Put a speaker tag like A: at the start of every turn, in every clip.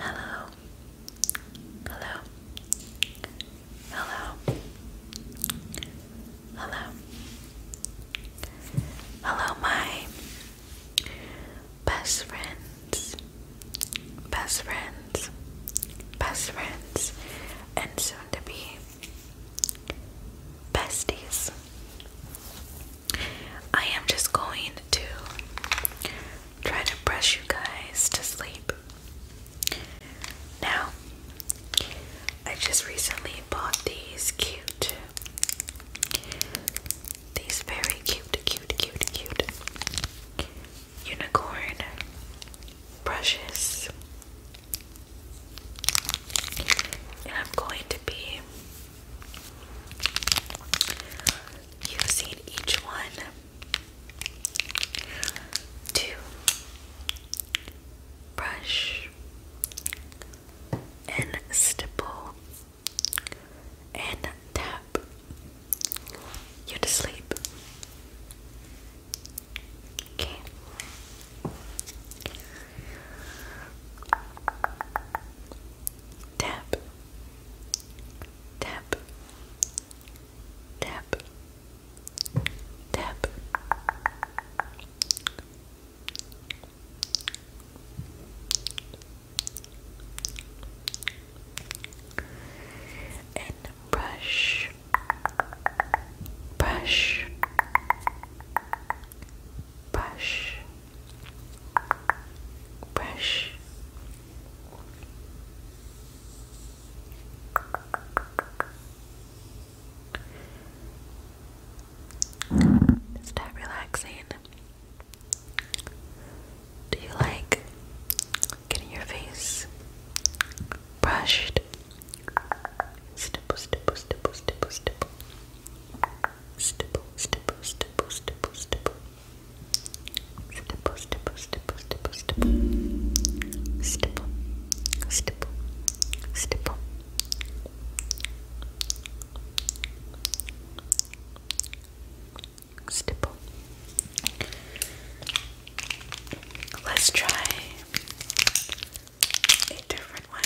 A: Hello. Hello. Hello. Hello. Hello, my best friends, best friends, best friends, and soon to be besties. I am just going to try to brush you guys to sleep. Now, I just recently bought these cute, these very cute, cute, cute, cute unicorn brushes. And I'm going to be using each one to brush and stipple and tap you to sleep. Okay. Tap tap, tap, tap. And brush, brush, brush, brush start relaxing do you like getting your face brushed stipple stipple stipple stipple stipple stipple stipple stipple stipple stipple Stipple, stipple, stipple, stipple, stipple. Stipple, stipple, Let's try a different one.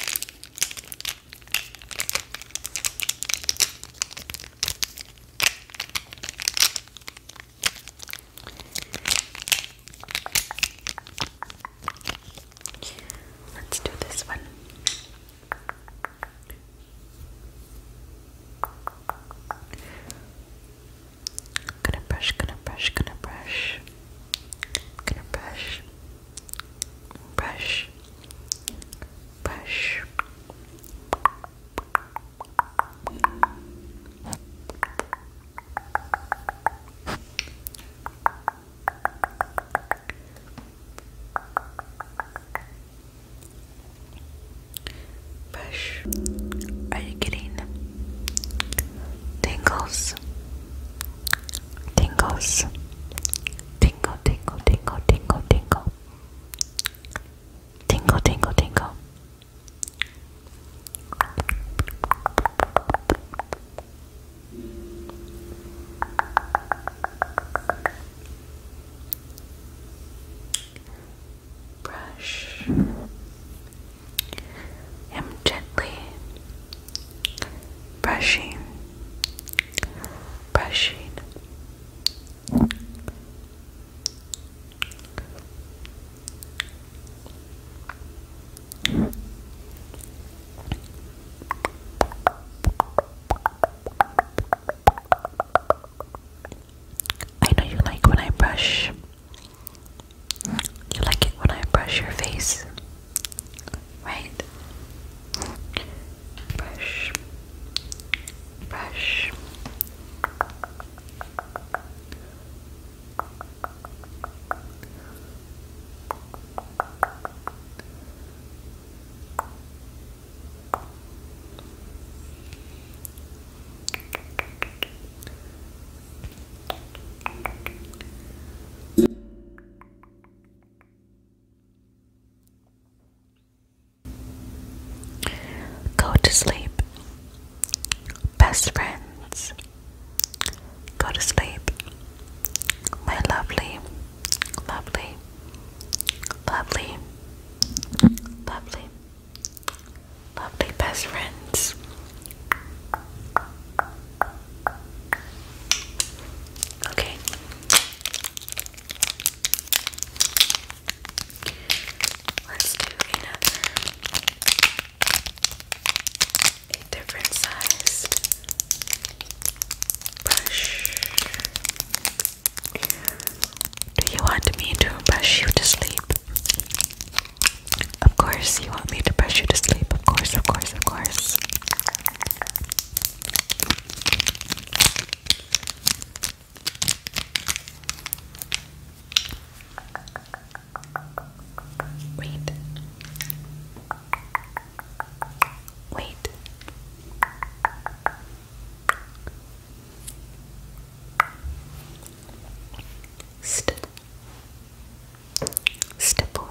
A: Let's do this one. Gonna brush, gonna brush, gonna brush, gonna brush, brush, brush. Brush. Are you kidding? tingles? Tingles. Tingle, tingle, tingle, tingle, tingle. Tingle, tingle, tingle. Brush him gently, brushing, brushing, I know you like when I brush. You like it when I brush your face right? Brush, brush. Go to sleep. Best friends. Go to sleep. My lovely, lovely, lovely, lovely, lovely best friends. Okay. Let's do another a different size brush. Do you want me to brush you to sleep? Of course, you want me to brush you to sleep. Of course, of course, of course. Wait. Wait. St stipple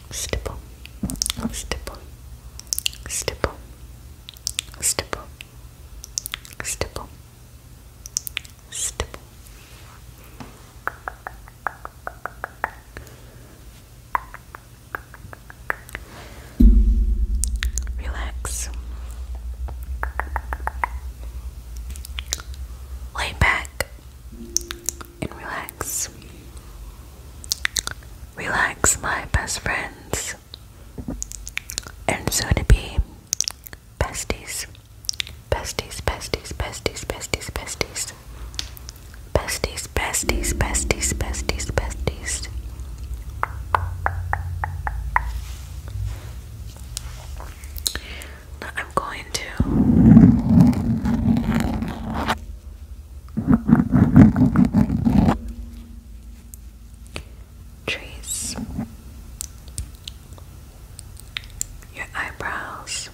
A: stipple, stipple, stipple, stipple, stipple, stipple. Relax. Lay back and relax. Relax, my best friends, and soon to be besties. Besties, besties, besties, besties, besties. Besties, besties, besties, besties, besties. Now I'm going to Trees. Your eyebrows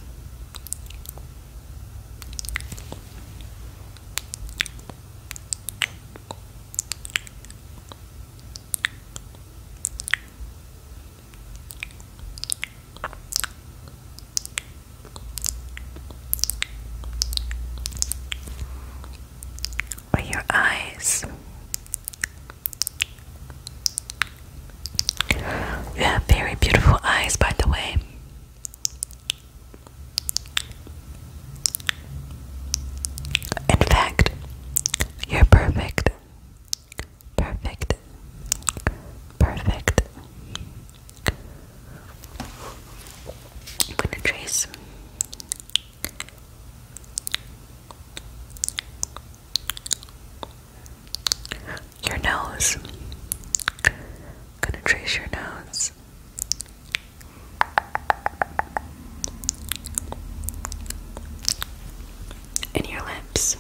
A: or your eyes. You have very beautiful eyes, by the way. In fact, you're perfect. Perfect perfect, gonna trace. Your nose. gonna trace your nose. And your lips.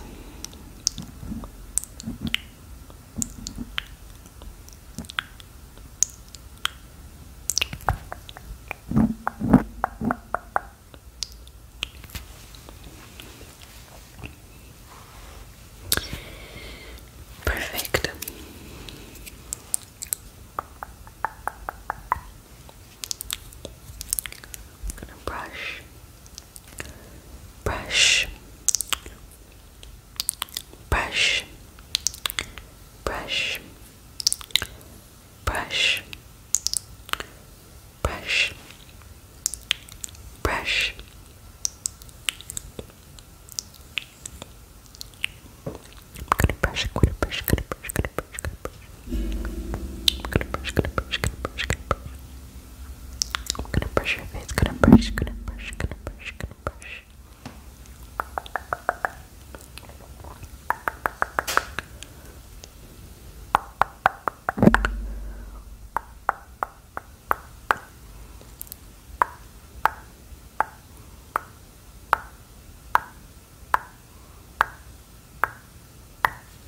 A: Perfect. gonna brush brush brush brush brush brush brush I'm gonna brush, I'm gonna brush, gonna brush, gonna brush, gonna brush. I'm gonna brush, gonna brush, gonna brush, gonna brush. I'm gonna brush your face, gonna brush, gonna brush, gonna brush, gonna brush.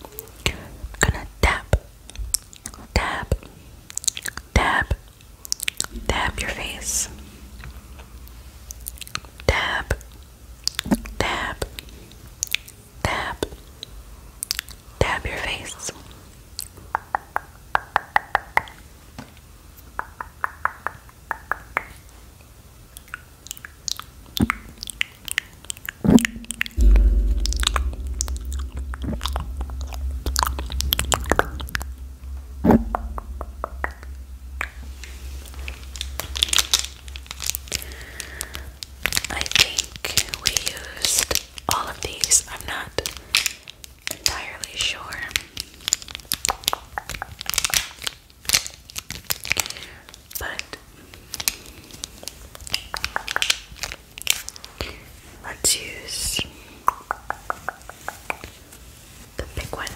A: I'm gonna tap, tap, tap, tap your face. Tap, tap, tap, tap your face. I think we used all of these. I'm not entirely sure. But Let's use the big one.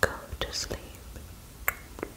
A: Go to sleep.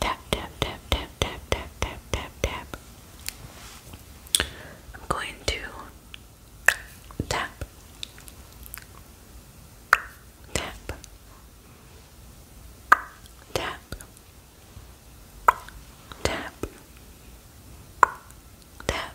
A: Tap, tap, tap, tap, tap, tap, tap, tap, tap. I'm going to tap, tap, tap, tap, tap, tap, tap. Tap,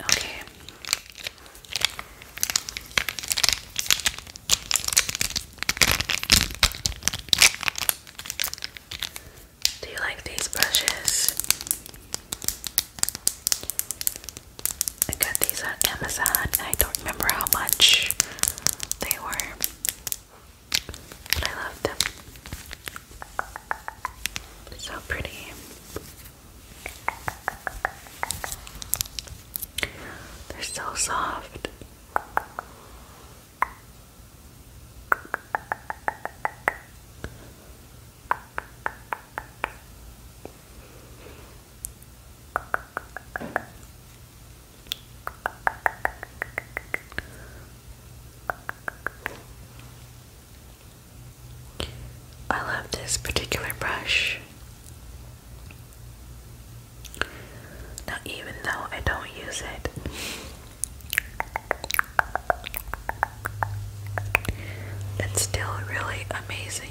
A: Okay. Do you like these brushes? I got these on Amazon. I don't remember how much they were. I loved them. So pretty. They're so soft. I love this particular brush. Now, even though I don't use it, it's still really amazing.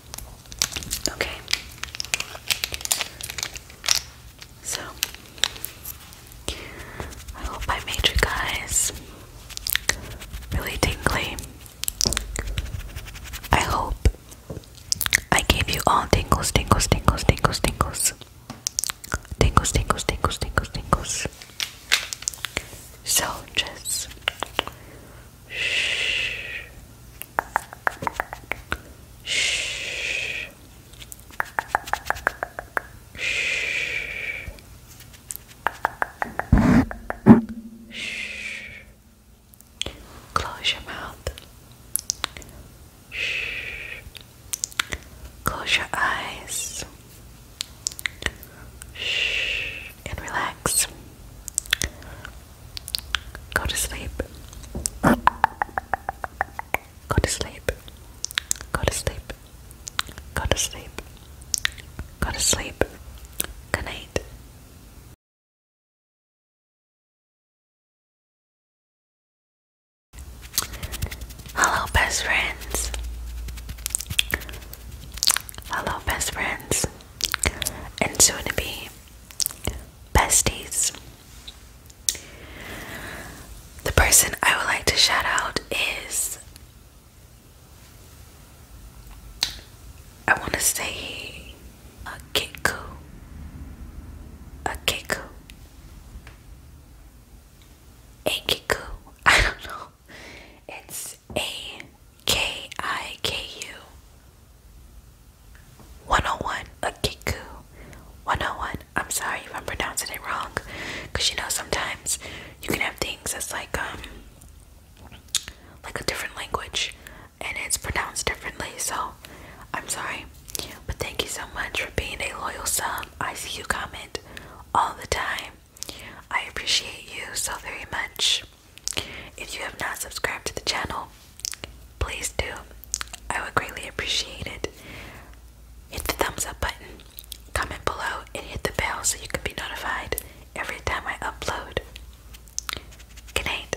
A: Okay. So, I hope I made you guys really tingly. I hope I gave you all tingles, tingles, tingles, tingles, tingles. Tingles, tingles, tingles, tingles, tingles. So just Shh. Shh. Shh. Shh. Close your mouth. Shh. Close your eyes. Shh. And relax. Go to sleep. Go to sleep. Go to sleep. Go to sleep. Go to sleep. Good night. Hello, best friends. Hello, best friends and soon to be besties. The person I would like to shout out is I want to say a Kiku. A Kiku. A Kiku. I don't know. It's A K I K U. 101 Akiku. 101. I'm sorry if I'm pronouncing it wrong. Because you know, sometimes you can have things that's like, um, like a different language and it's pronounced differently. So I'm sorry. But thank you so much for being a loyal sub. I see you comment all the time. I appreciate you so very much. If you have not subscribed to the channel, please do. I would greatly appreciate it. Hit the thumbs up button, comment below, and hit the bell so you can be notified every time I upload. Good